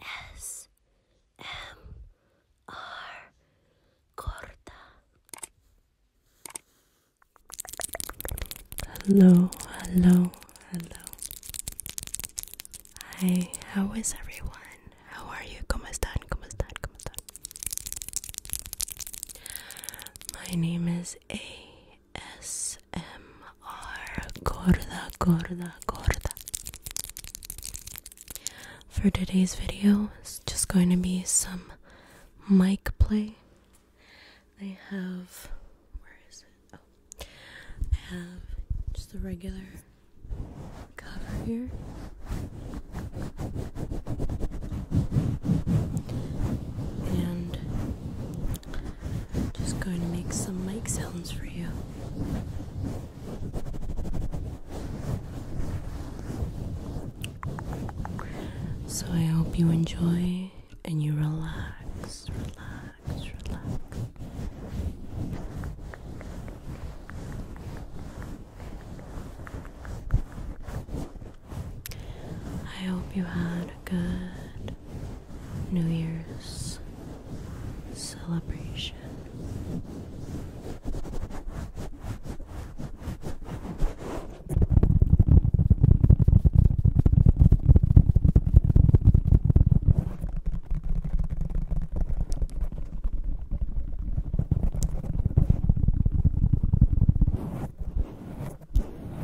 ASMR Corta. Hello, hello, hello. Hi, how is everyone? How are you? ¿Cómo están? ¿Cómo están? ¿Cómo están? My name is A ASMR Gorda Gorda Gorda. For today's video, it's just going to be some mic play. I have where is it? Oh. I have just a regular cover here. And just going to make some mic sounds for you. So I hope you enjoy and you relax, relax, relax. I hope you had a good New Year's celebration.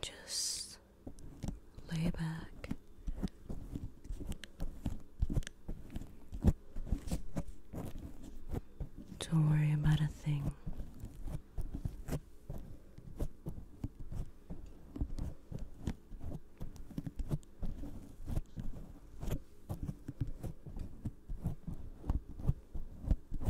just lay back. Don't worry about a thing.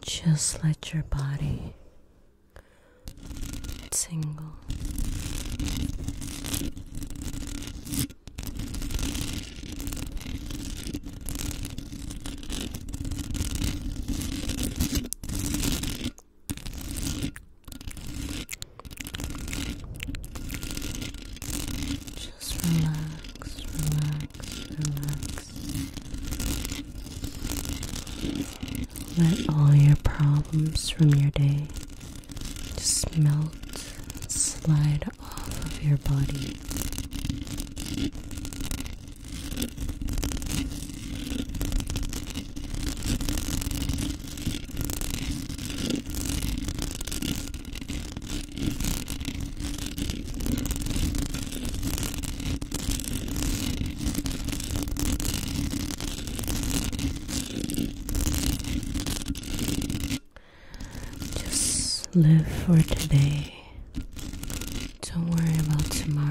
Just let your body tingle. Just relax, relax, relax. Let all your problems from your day just melt and slide off of your body. Just live for today. Don't worry about tomorrow.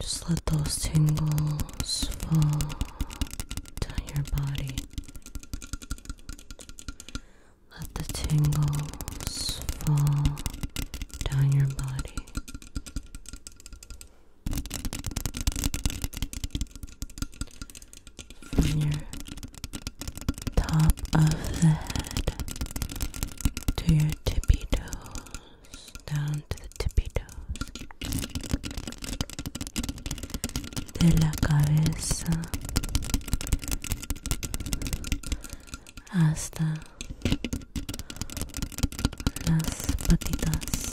Just let those tingles fall down your body. Let the tingles fall down your body. From your top of the head to your tippy toes, down to the tippy toes, de la cabeza hasta las patitas.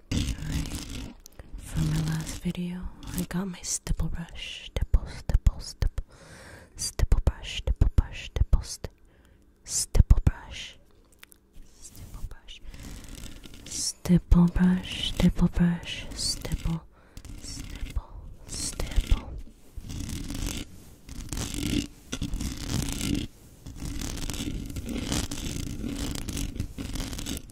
For my last video, I got my stipple brush, stipple, stipple, stipple, stipple brush, stipple brush, stipple, sti stipple brush, stipple brush, stipple brush, stipple brush, stipple, stipple, stipple.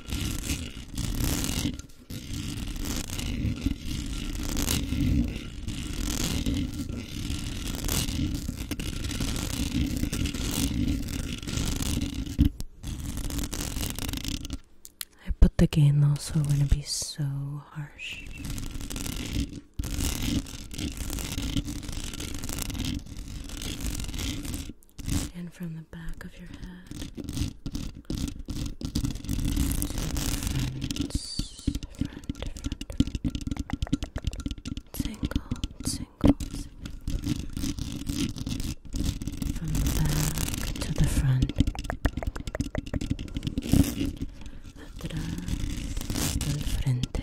I put the gain low so we're going to be so harsh and from the back of your head. Friends, friend, friend. Tingle, tingles. From the back to the front. Atrás, al frente.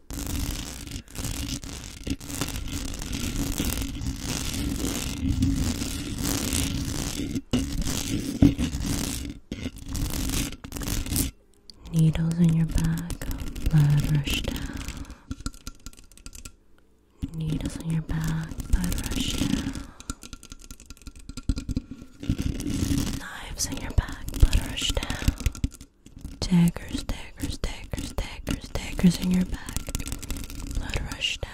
Needles in your back, blood rush down. Needles in your back, blood rush down. Knives in your back, blood rush down. Daggers, daggers, daggers, daggers, daggers in your back. Blood rush down.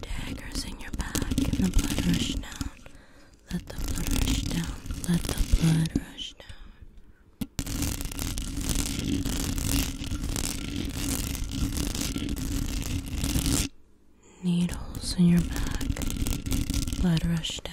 Daggers in your back and the blood rush down. Let the blood rush down. Let the blood rush down. Needles in your back. Blood rush down.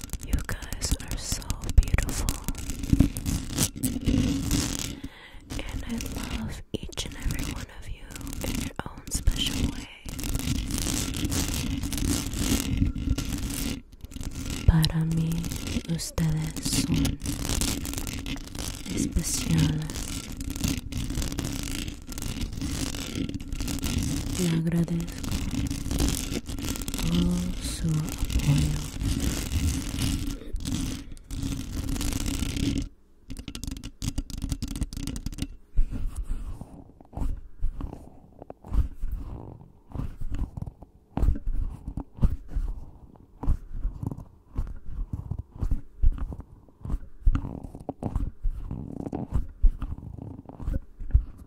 You guys are so beautiful. And I love each and every one of you in your own special way. Para mí, ustedes son especiales. Le agradezco also a boil.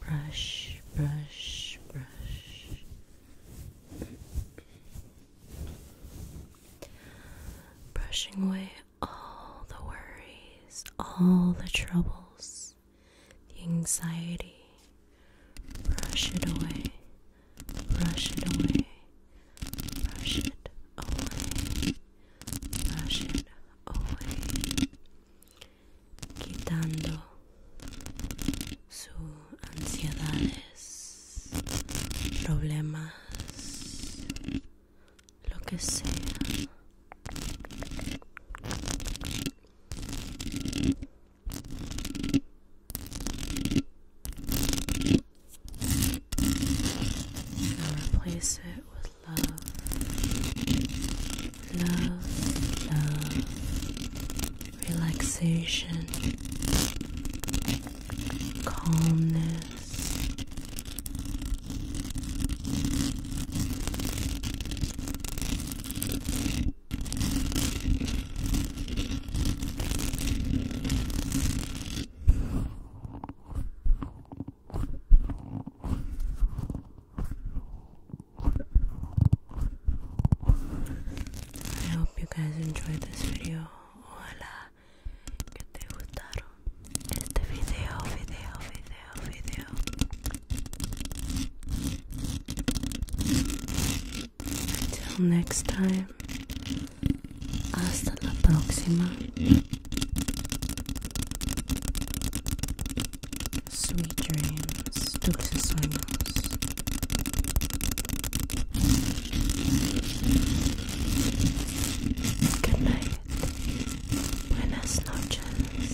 brush, brush, brush. Brushing away all the worries, all the troubles, the anxiety. Brush it away, brush it away, brush it away, brush it away. quitando sus ansiedades, problemas, lo que sea. love, love, love, relaxation, calmness, I hope you guys enjoyed this video. Hola, que te gustaron este video, video, video, video. Until next time, hasta la próxima. Sweet dreams, dulces sueños. Good night. Buenas noches.